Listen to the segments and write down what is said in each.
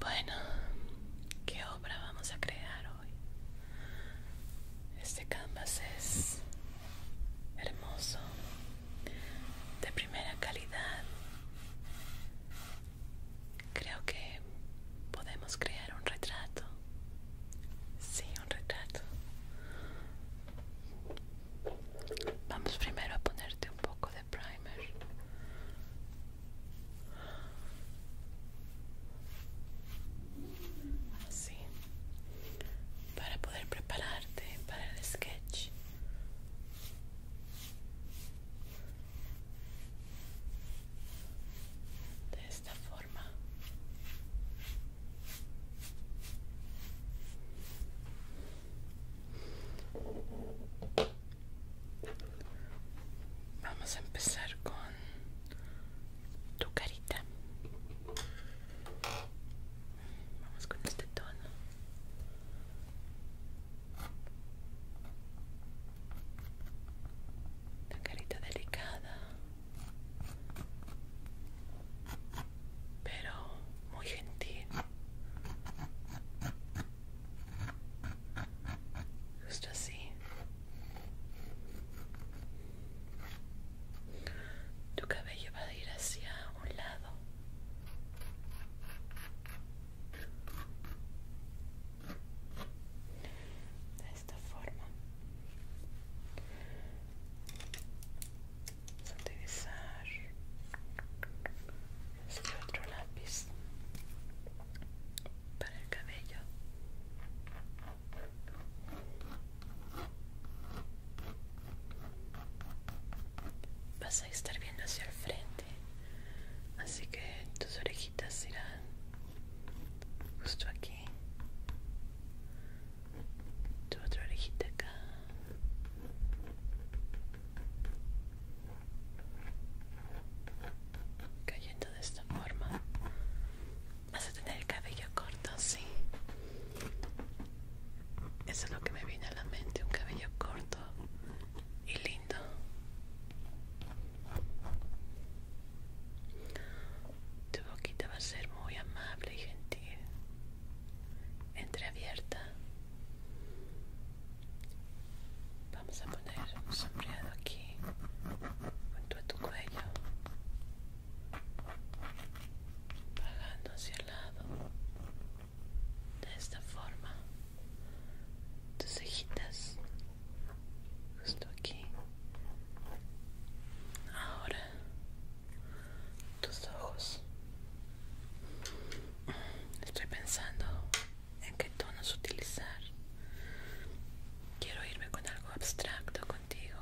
Bueno, ¿qué obra vamos a crear hoy? Este canvas es hermoso, de primera calidad. Creo que podemos crear un retrato Sí, un retrato. Vamos primero a ponerte un poco de primer. Así. Para poder prepararte para el sketch forma. Vamos a empezar con tu carita. Vamos con este tono. La carita delicada pero muy gentil. Justo así. Tu cabello va a ir hacia un lado esta forma vamos a utilizar este otro lápiz para el cabello vas a estar viendo hacia el frente así que tus orejitas irán justo aquí tu otra orejita acá cayendo de esta forma vas a tener el cabello corto sí eso es lo que me viene a la mente un cabello corto y lindo tu boquita va a ser muy amable y gentil, entreabierta. Vamos a poner un sombreado aquí, junto a tu cuello, bajando hacia el lado. De esta forma, tus cejitas, justo aquí. Ahora tus ojos. Estoy pensando en qué tonos utilizar. Quiero irme con algo abstracto contigo,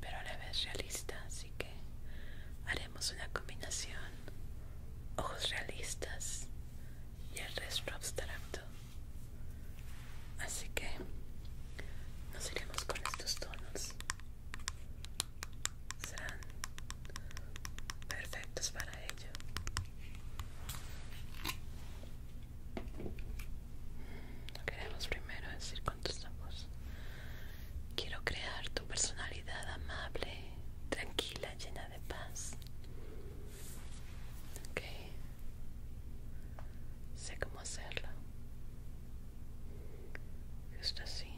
pero a la vez realista, así que haremos una combinación. Ojos realistas y el resto abstracto. Así que nos iremos con estos tonos. Serán perfectos para ello. Queremos primero decir con tus Quiero crear tu personalidad amable, tranquila, llena de paz. Ok. Sé cómo hacerlo. Justo así.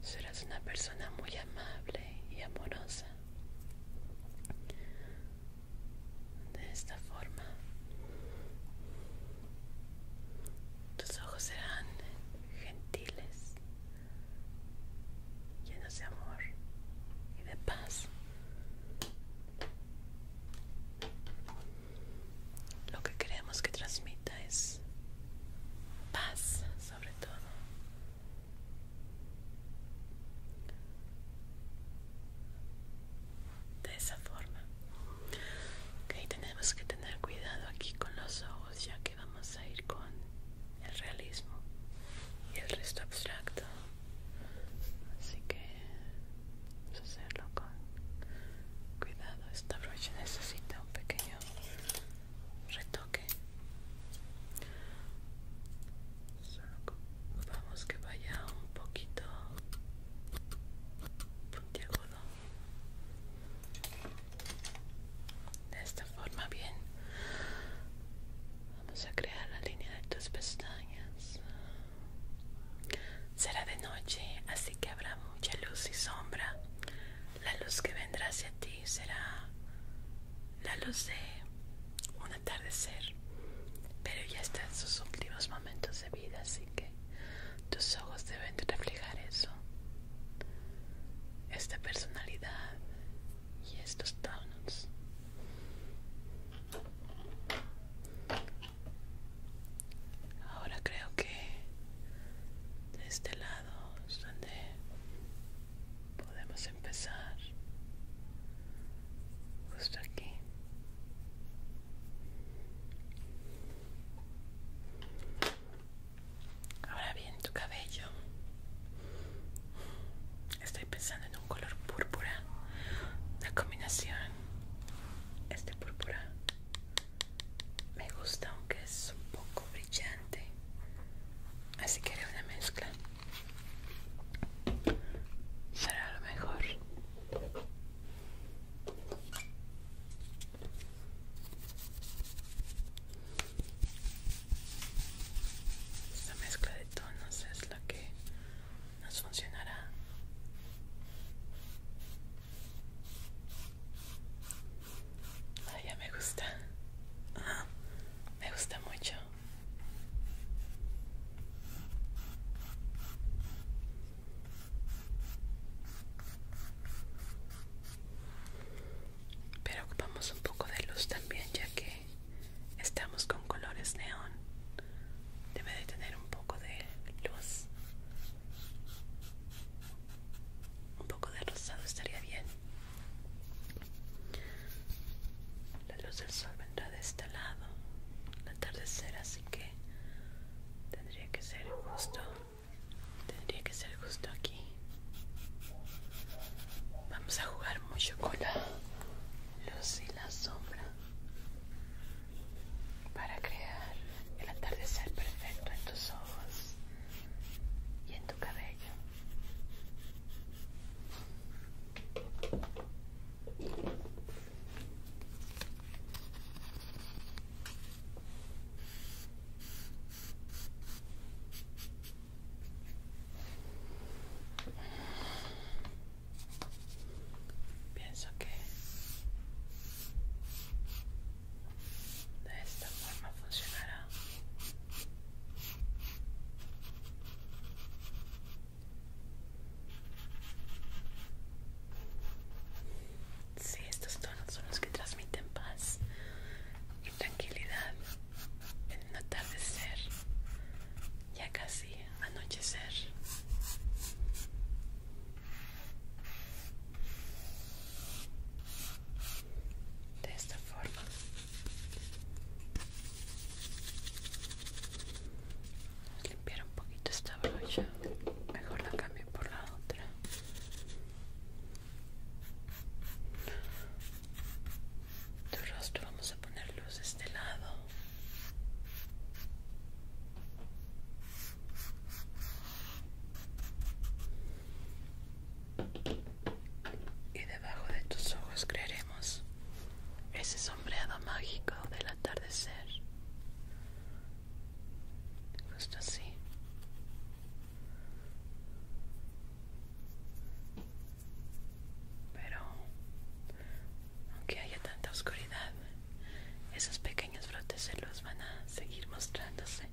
Serás una persona muy amable y amorosa. De esta forma, tus ojos serán gentiles llenos de amor y de paz. Lo que queremos que transmita es paz, sobre todo. De esa forma. Ok, tenemos que tener cuidado aquí con los ojos, ya que vamos a ir con el realismo y el resto abstracto así que vamos a hacerlo con cuidado esta brocha necesita un pequeño retoque vamos que vaya un poquito puntiagudo de esta forma bien Vamos a crear la línea de tus pestañas. Será de noche, así que habrá mucha luz y sombra. La luz que vendrá hacia ti será la luz de un atardecer, pero ya está en sus últimos momentos de vida, así que tus ojos deben reflejar eso. Esta personalidad y estos donuts ahora creo que de este lado es donde podemos empezar justo aquí Ahora bien, tu cabello Estoy pensando en un color púrpura. La combinación este púrpura me gusta, aunque es un poco brillante. Así que haré una mezcla. Será lo mejor. Esta mezcla de tonos es la que nos funcionará. ya me gusta. me gusta mucho. Pero ocupamos un poco de luz también, ya que Estamos con colores neón. Debe de tener un poco de luz. Un poco de rosado estaría bien. La luz del sol vendrá de este lado. La atardecer, así que tendría que ser justo. Tendría que ser justo aquí. Vamos a jugar mucho cola luz y la sombra para crear el atardecer perfecto en tus ojos y en tu cabello. Pienso que de esta forma funcionará. Sí, estos tonos son los que transmiten paz y tranquilidad en atardecer, ya casi anochecer. De esta forma limpiar un poquito esta brocha mejor la cambio por la otra tu rostro vamos a poner luz de este lado y debajo de tus ojos crearemos ese sombreado mágico del atardecer justo así pero, aunque haya tanta oscuridad, esos pequeños brotes de luz van a seguir mostrándose.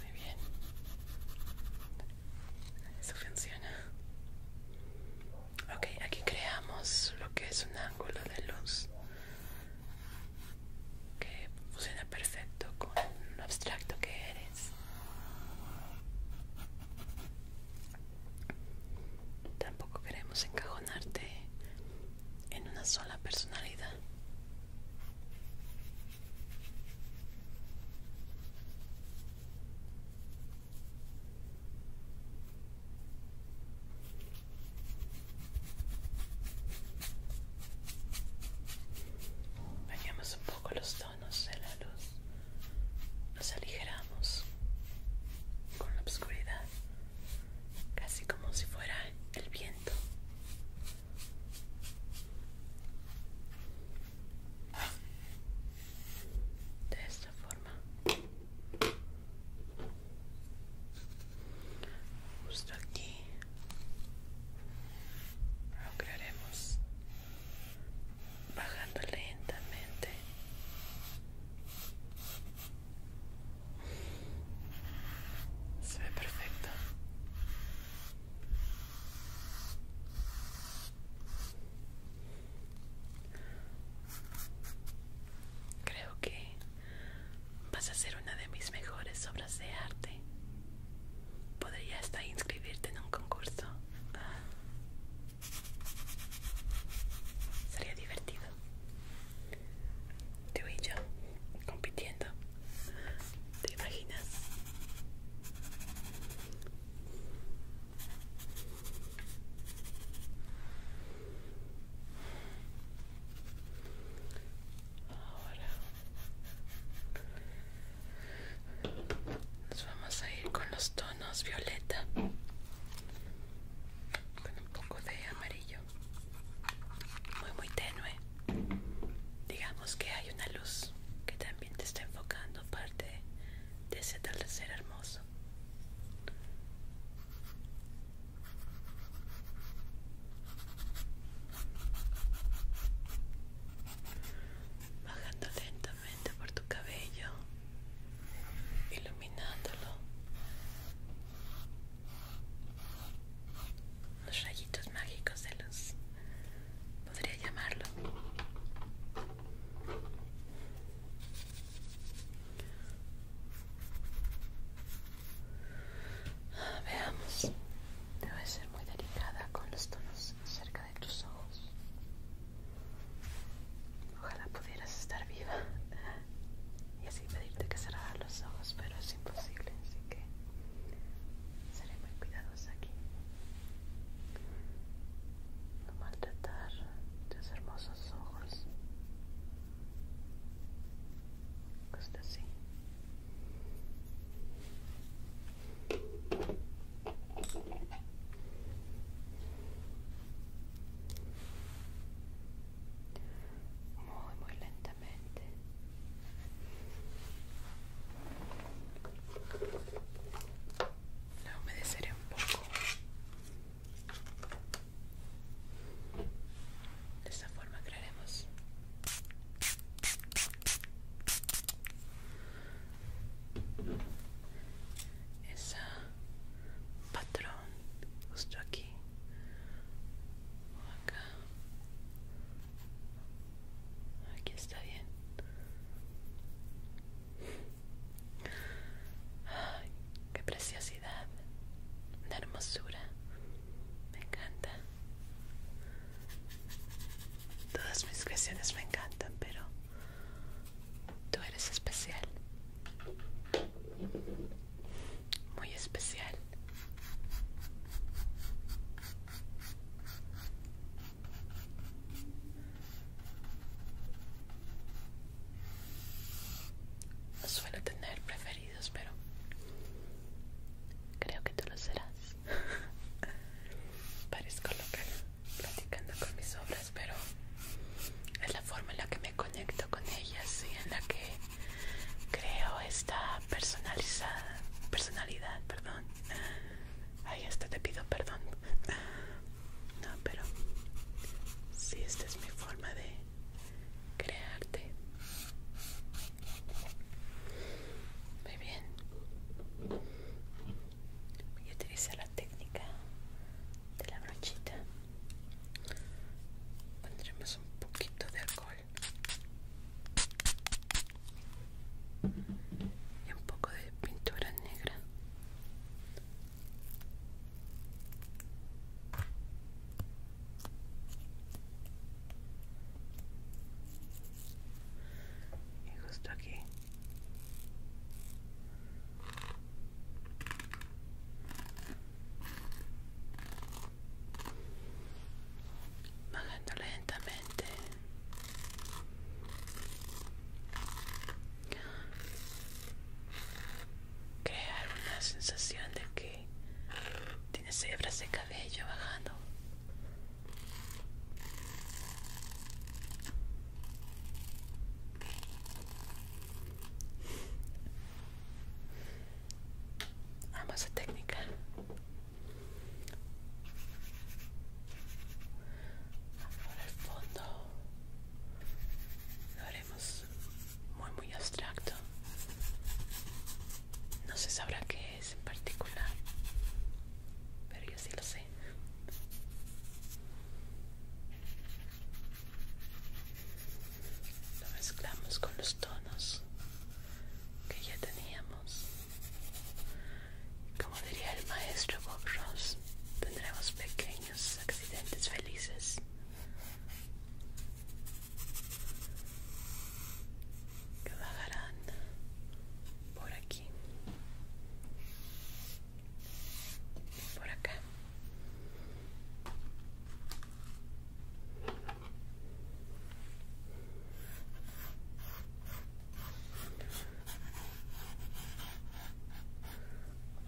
Muy bien. Eso funciona. Ok, aquí creamos lo que es un ángulo de luz que funciona perfecto con lo abstracto que eres. Tampoco queremos encajonarte en una sola personalidad. Bañamos un poco los tonos de la luz, nos aligeramos con la oscuridad, casi como si fuera el viento esta forma justo aquí crearemos bajando lentamente se ve perfecto Creo que vas a ser una de mis mejores obras de arte. Podría hasta inscribirte en un concurso. Sería divertido. Tú y yo compitiendo. ¿Te imaginas? Ahora nos vamos a ir con los tonos violeta con un poco de amarillo muy muy tenue digamos que hay una luz que también te está enfocando parte de ese atardecer hermoso Bajando lentamente por tu cabello, iluminándolo. Los rayitos mágicos de luz, podría llamarlo. Veamos, debe ser muy delicada con los tonos cerca de tus ojos. Ojalá pudieras estar viva y así pedirte que cerrar los ojos, pero es imposible, así que seré muy cuidadosa aquí. No maltratar tus hermosos ojos. así. Muy, muy lentamente. La humedeceré un poco de esta forma crearemos ese patrón justo aquí acá. Aquí está bien qué preciosidad, la hermosura, me encanta. Todas mis creaciones me encantan, pero tú eres especial, muy especial. No suelo tener preferidos, pero creo que tú lo serás. Parezco loca platicando con mis obras, pero es la forma en la que me conecto con ellas y en la que creo esta personalizada personalidad, perdón. Ay, esto te pido perdón no, pero si esta es mi forma de crearte. Muy bien. Voy a utilizar la técnica de la brochita. Pondremos un poquito de alcohol y un poco de pintura negra y justo aquí bajando lentamente crear una sensación de que tiene hebras de cabello bajando Amo a técnica Ahora el fondo muy, muy abstracto. No se sabrá qué es en particular, pero yo sí lo sé. Lo mezclamos con los tonos que ya teníamos. Como diría el maestro Bob Ross, tendremos pequeños accidentes felices que bajarán por aquí por acá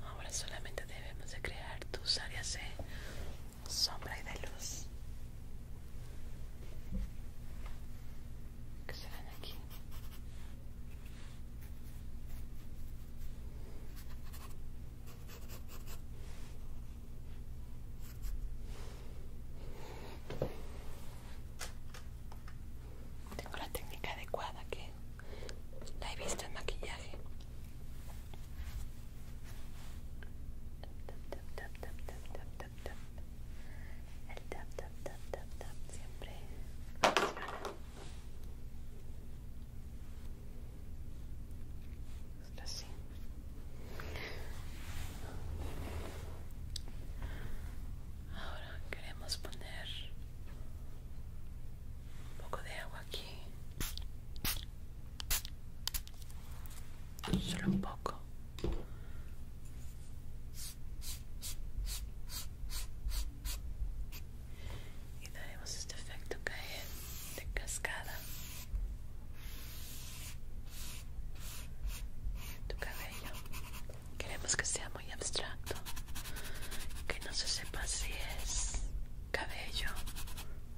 Ahora solamente debemos de crear tus áreas de sombra y de luz ¿Qué se aquí. Tengo la técnica adecuada que la he visto en maquillaje. El tap tap tap tap tap siempre funciona. así. Ahora queremos poner un poco de agua aquí solo un poco y daremos este efecto caer de cascada tu cabello queremos que sea muy abstracto que no se sepa si es cabello,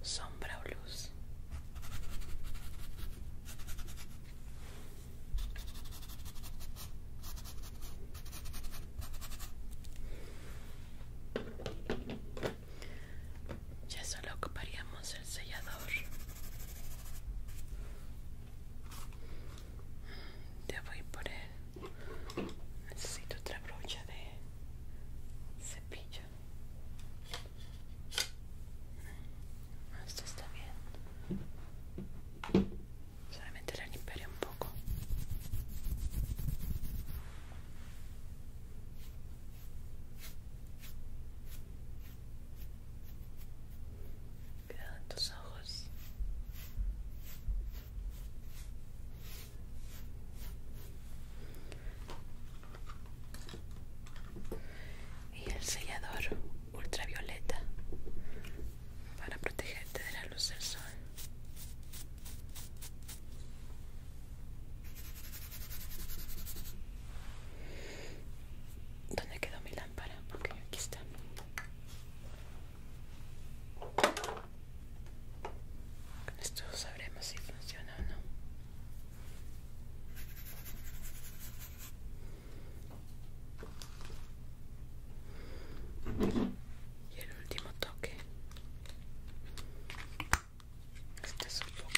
sombra o luz. Ya solo ocuparíamos el sellador. Te voy por él. Necesito otra brocha de cepillo. Ah, esto está bien. Solamente la imperio un poco. Cuidado en tus ojos y el sellador ultravioleta para protegerte de la luz del sol ¿Dónde quedó mi lámpara? Porque aquí está. Con esto sabremos si funciona o no. Y el último toque. Este es un poco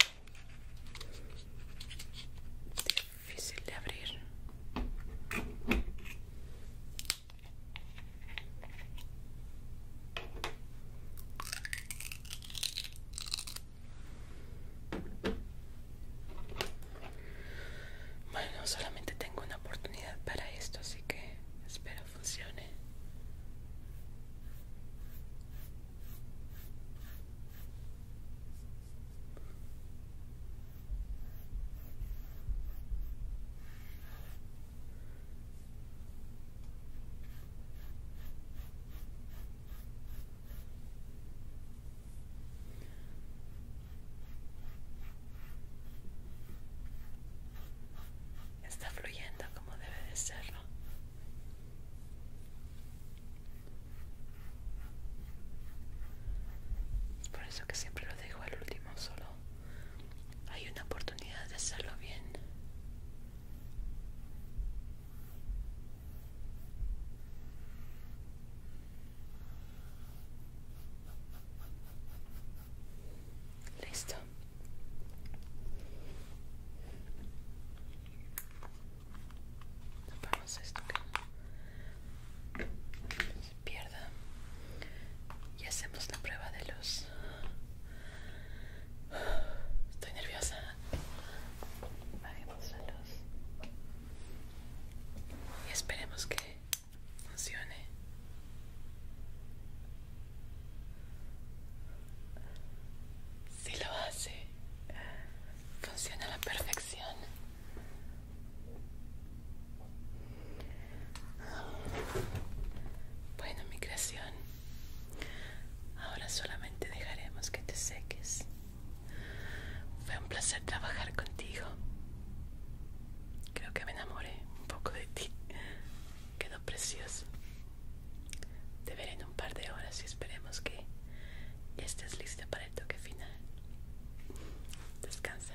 difícil de abrir. Bueno, solamente tengo una oportunidad para esto, así que espero funcione. Está fluyendo como debe de serlo. por eso que siempre lo dejo al último solo hay una oportunidad de hacerlo bien. Listo. Tapamos esto que se pierda y hacemos la prueba de luz. Estoy nerviosa. Bajemos la luz. Y esperemos que funcione. Si lo hace, funciona a la perfección. Bueno, mi creación. Ahora solamente dejaremos que te seques. Fue un placer trabajar contigo. Creo que me enamoré un poco de ti. Quedó precioso. Te veré en un par de horas y esperemos que estés lista para el toque final. Descansa.